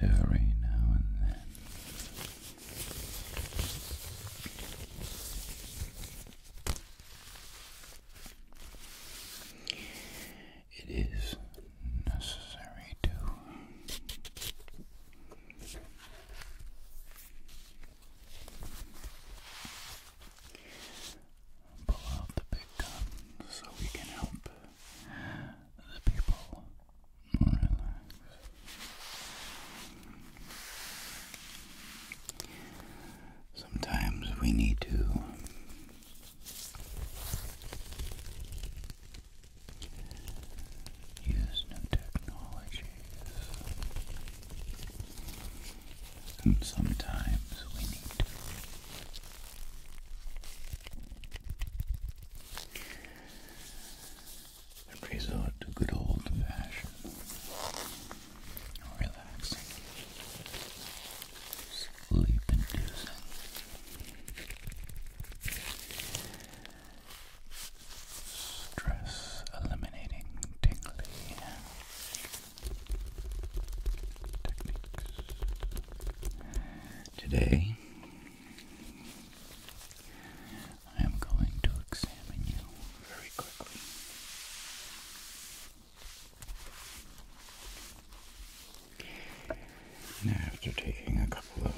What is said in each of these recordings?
Every now and then, it is necessary to Pull out the big guns so we can help the people Sometimes we need to use new technology and sometimes we need to. resort to good old fashioned relaxing, sleep inducing Stress eliminating tingly techniques. Today, I am going to examine you very quickly. after taking a couple of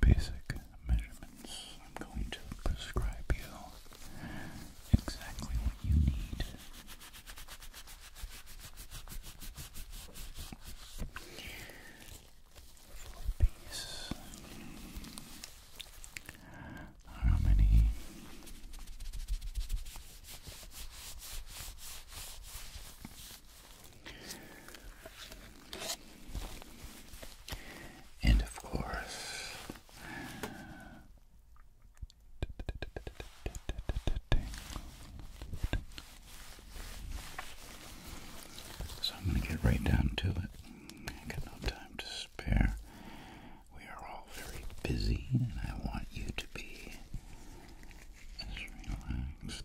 basic measurements. I'm going to prescribe you exactly what you need. Four piece. How many? And of course, so I'm going to get right down to it. I got no time to spare. We are all very busy, and I want you to be as relaxed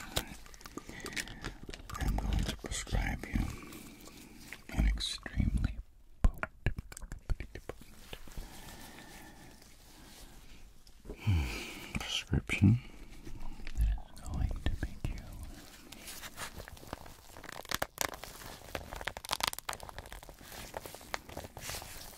I'm going to prescribe you an extremely potent, prescription that is going to make you.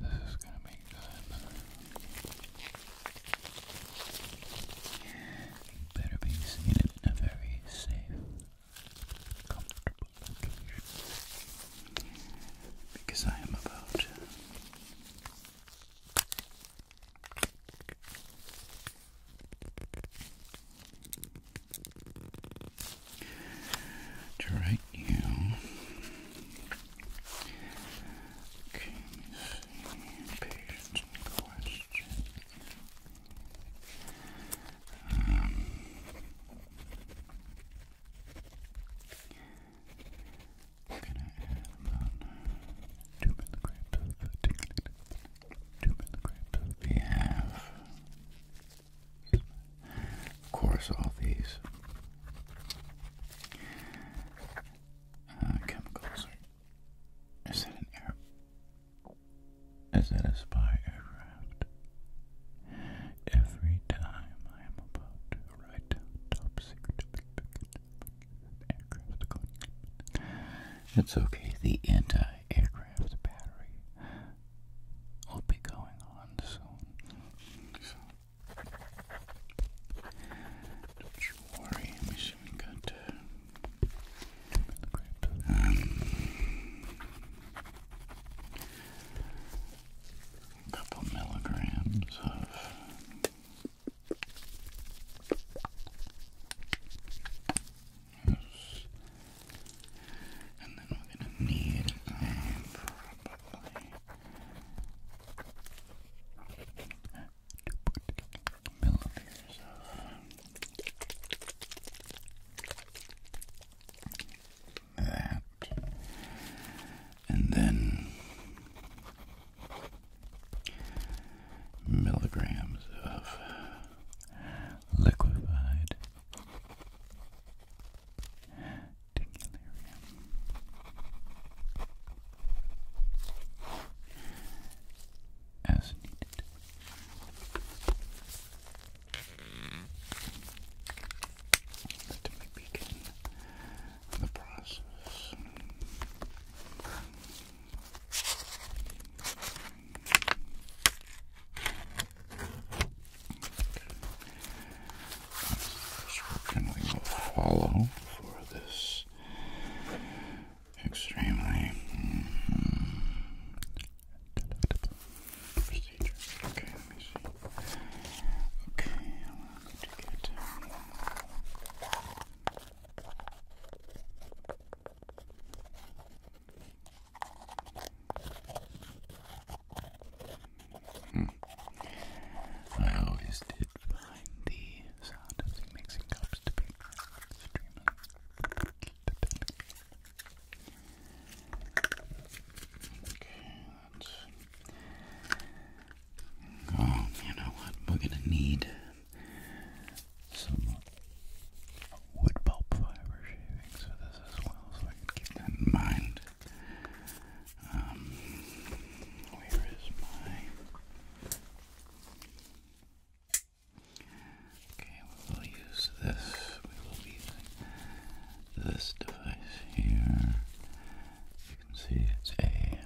This is going to be good. Better be seated in a very safe, comfortable location. Because I am about to to right now. Okay, let and questions. Um, we're two milligrams two milligrams. We have of course, all these uh, chemicals Is that an air? Is that a spy aircraft? Every time I am about to write top secret aircraft, it's okay. The anti-aircraft battery i will be going on soon. So don't you worry, let me we got a couple milligrams of and then we're going to need um, probably milliliters of that. And then milligrams of liquefied Tingularium. As needed. Let me begin the process. This kindling will follow for this extremely mm-hmm, procedure. Okay, let me see. Okay, I'm going to get. Hmm. I always did find the sound mixing cups to be extremely Okay, that's. Oh, you know what? We're gonna need some wood pulp fiber shavings for this as well, so I can keep that in mind. Um, my. Okay, we will use this. We will be using this device here. You can see it's a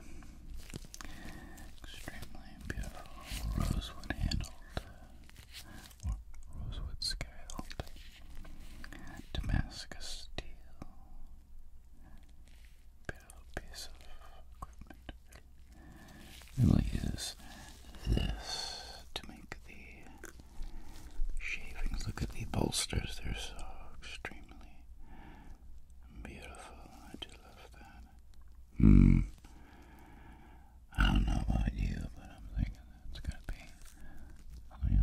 extremely beautiful rosewood handled rosewood scale, Damascus steel, bit of piece of equipment. Really is this to make the shavings. Look at the bolsters; they're so extremely beautiful. I do love that. Hmm. I don't know about you, but I'm thinking that's gonna be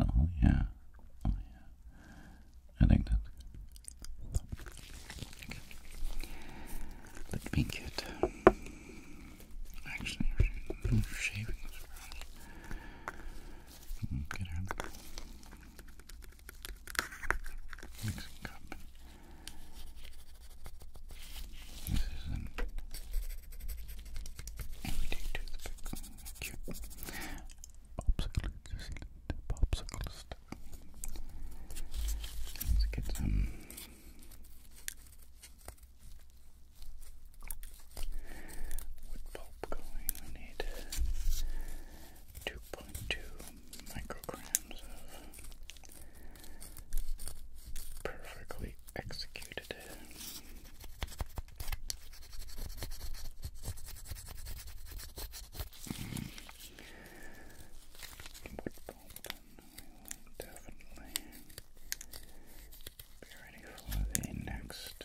Oh yeah. Oh yeah. I think that's Let me get actually shavings for us. Get our mixing cup. This is an everyday toothpick. Cute. Popsicle, you the popsicle stick. Let's get some. Wood pulp going. We need 2.2 micrograms of perfectly executed. Mm. will definitely be ready for the next.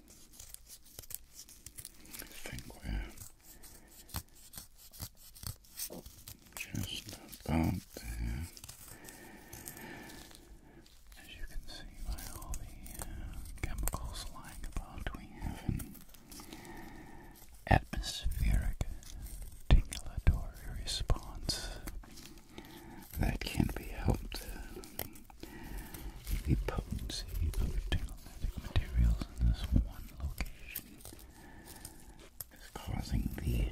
I think we're just about As you can see by all the uh, chemicals lying about, we have an atmospheric tingulatory response that can be helped the potency of thermogenic materials in this one location is causing the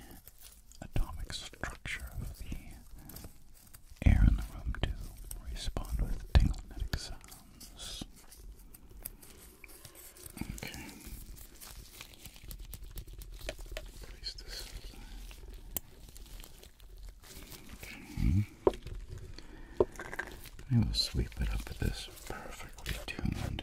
atomic structure of the air in the room to respond with tingling tinglematic sounds. Okay. Place this aside. I mm-hmm. will sweep it up with this perfectly tuned.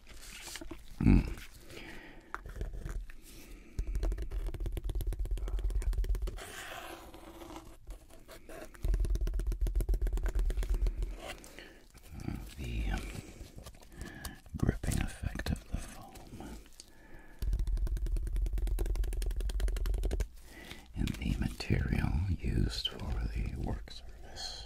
Mm. The gripping effect of the foam and the material used for the work surface.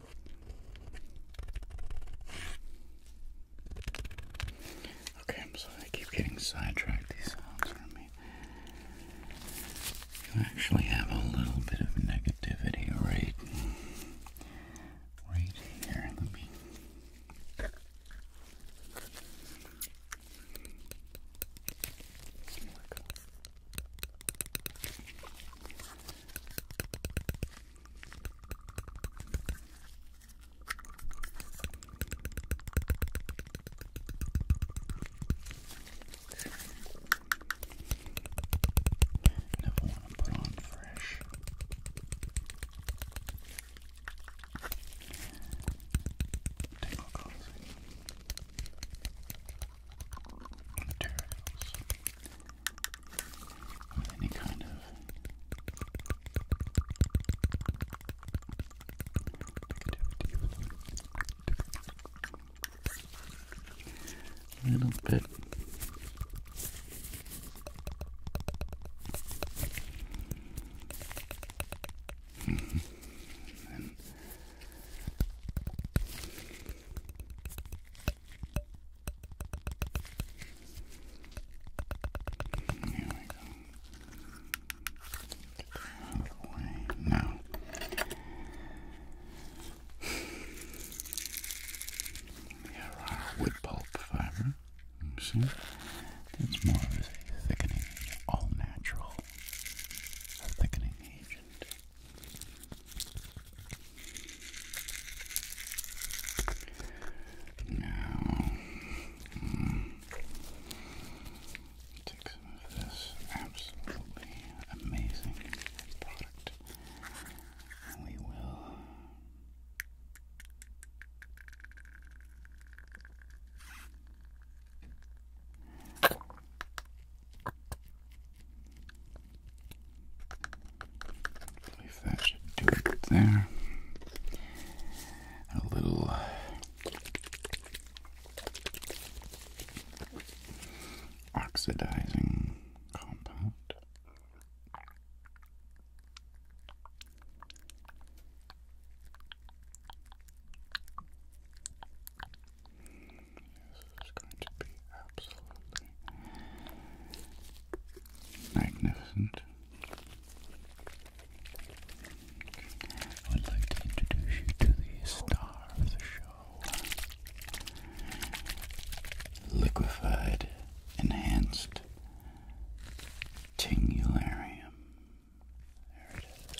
Okay, I'm sorry, I keep getting sidetracked. These sounds from me. You actually have a little bit of negativity right, right here. Let me. Never want to put on fresh. Tingle coffee. Materials with any kind of negativity. A little bit. Mm-hmm. and here we go. Get here are wood pulp fiber. You see? It's more of a thickening, all natural thickening agent. Now, mm, take some of this absolutely amazing product, and we will. I that should do it there. A little uh, oxidizing compound. This is going to be absolutely magnificent. I would like to introduce you to the star of the show. Liquefied enhanced tingularium. There it is.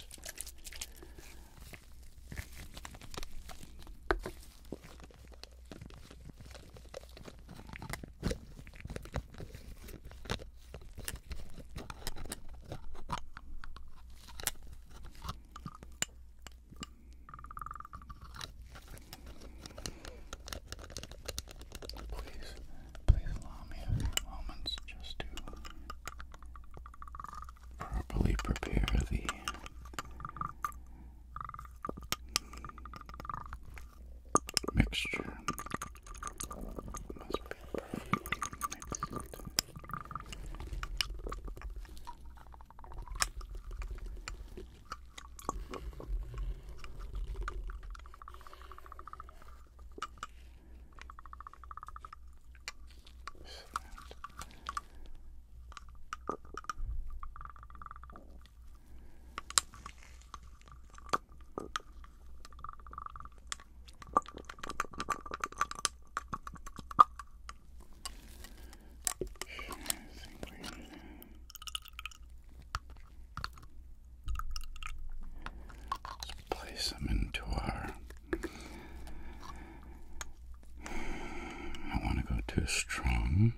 Please, please allow me moments just to properly prepare the mixture must be perfectly mixed. So that Let's place them into our. I don't want to go too strong.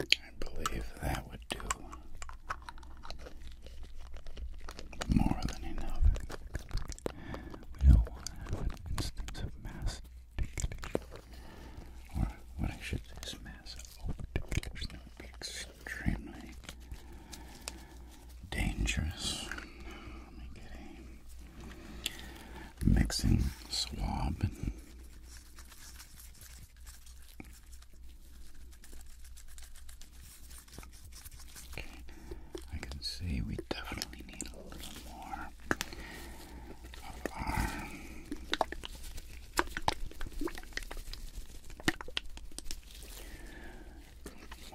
I believe that would do more than enough. We don't want an instance of mass or what I should say mass overparticulation. That extremely dangerous. mixing swab. And okay, I can see we definitely need a little more of our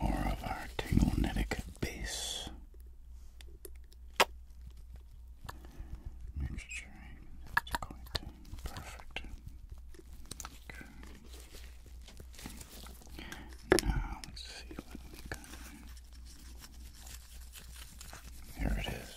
more of our tinglenetic base. Mixturing, that's quite perfect. Okay. Now, let's see what we Here it is.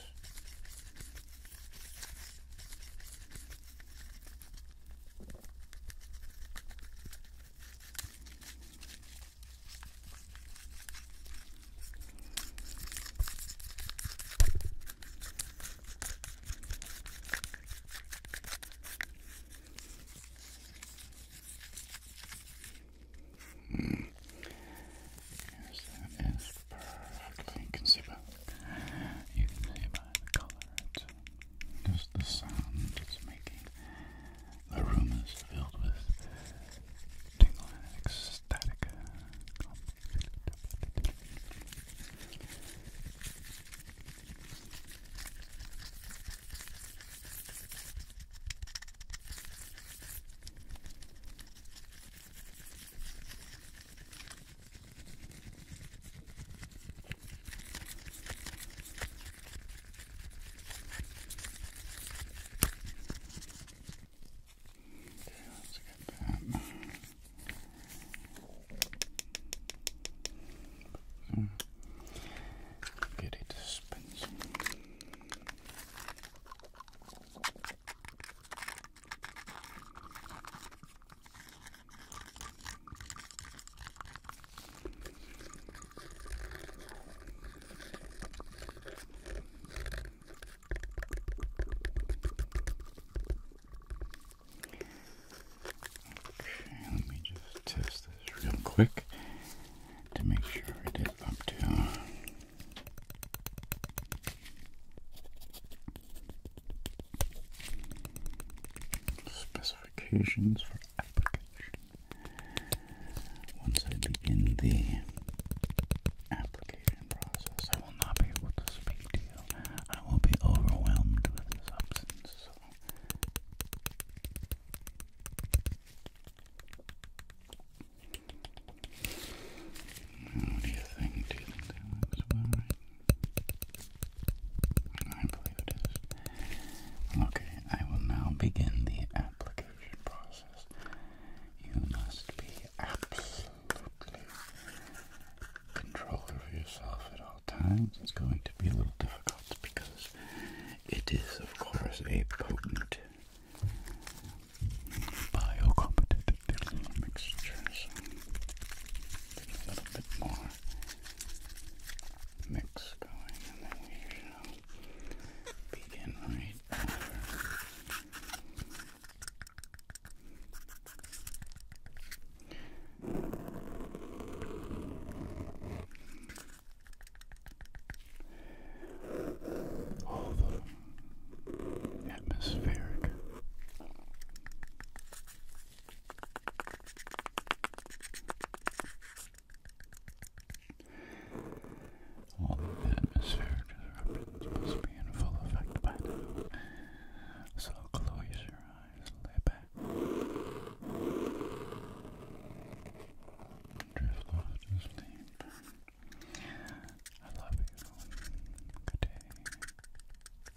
Mm. Yes, that is perfectly You can see by the color just the sound it's making. The room is filled with tingle ecstatic. Okay, let's get that. Mm. Beauty dispenser. Okay, let me just test this real quick to make sure I did up to. Uh, Specifications for application. Once I begin the application process, I will not be able to speak to you. I will be overwhelmed with the substance. So. What do you think? Do you think that looks well it is. Okay, I will now begin the application process. You must be absolutely control over yourself at all times. It's going to be a little difficult because it is, of course, a potent biocompetitive mixture. So a little bit more mix going, and then we shall begin right after. All the atmospheric all the atmospheric disruptions must be in full effect by now. So close your eyes, lay back. Drift off to sleep. I love you. Good day.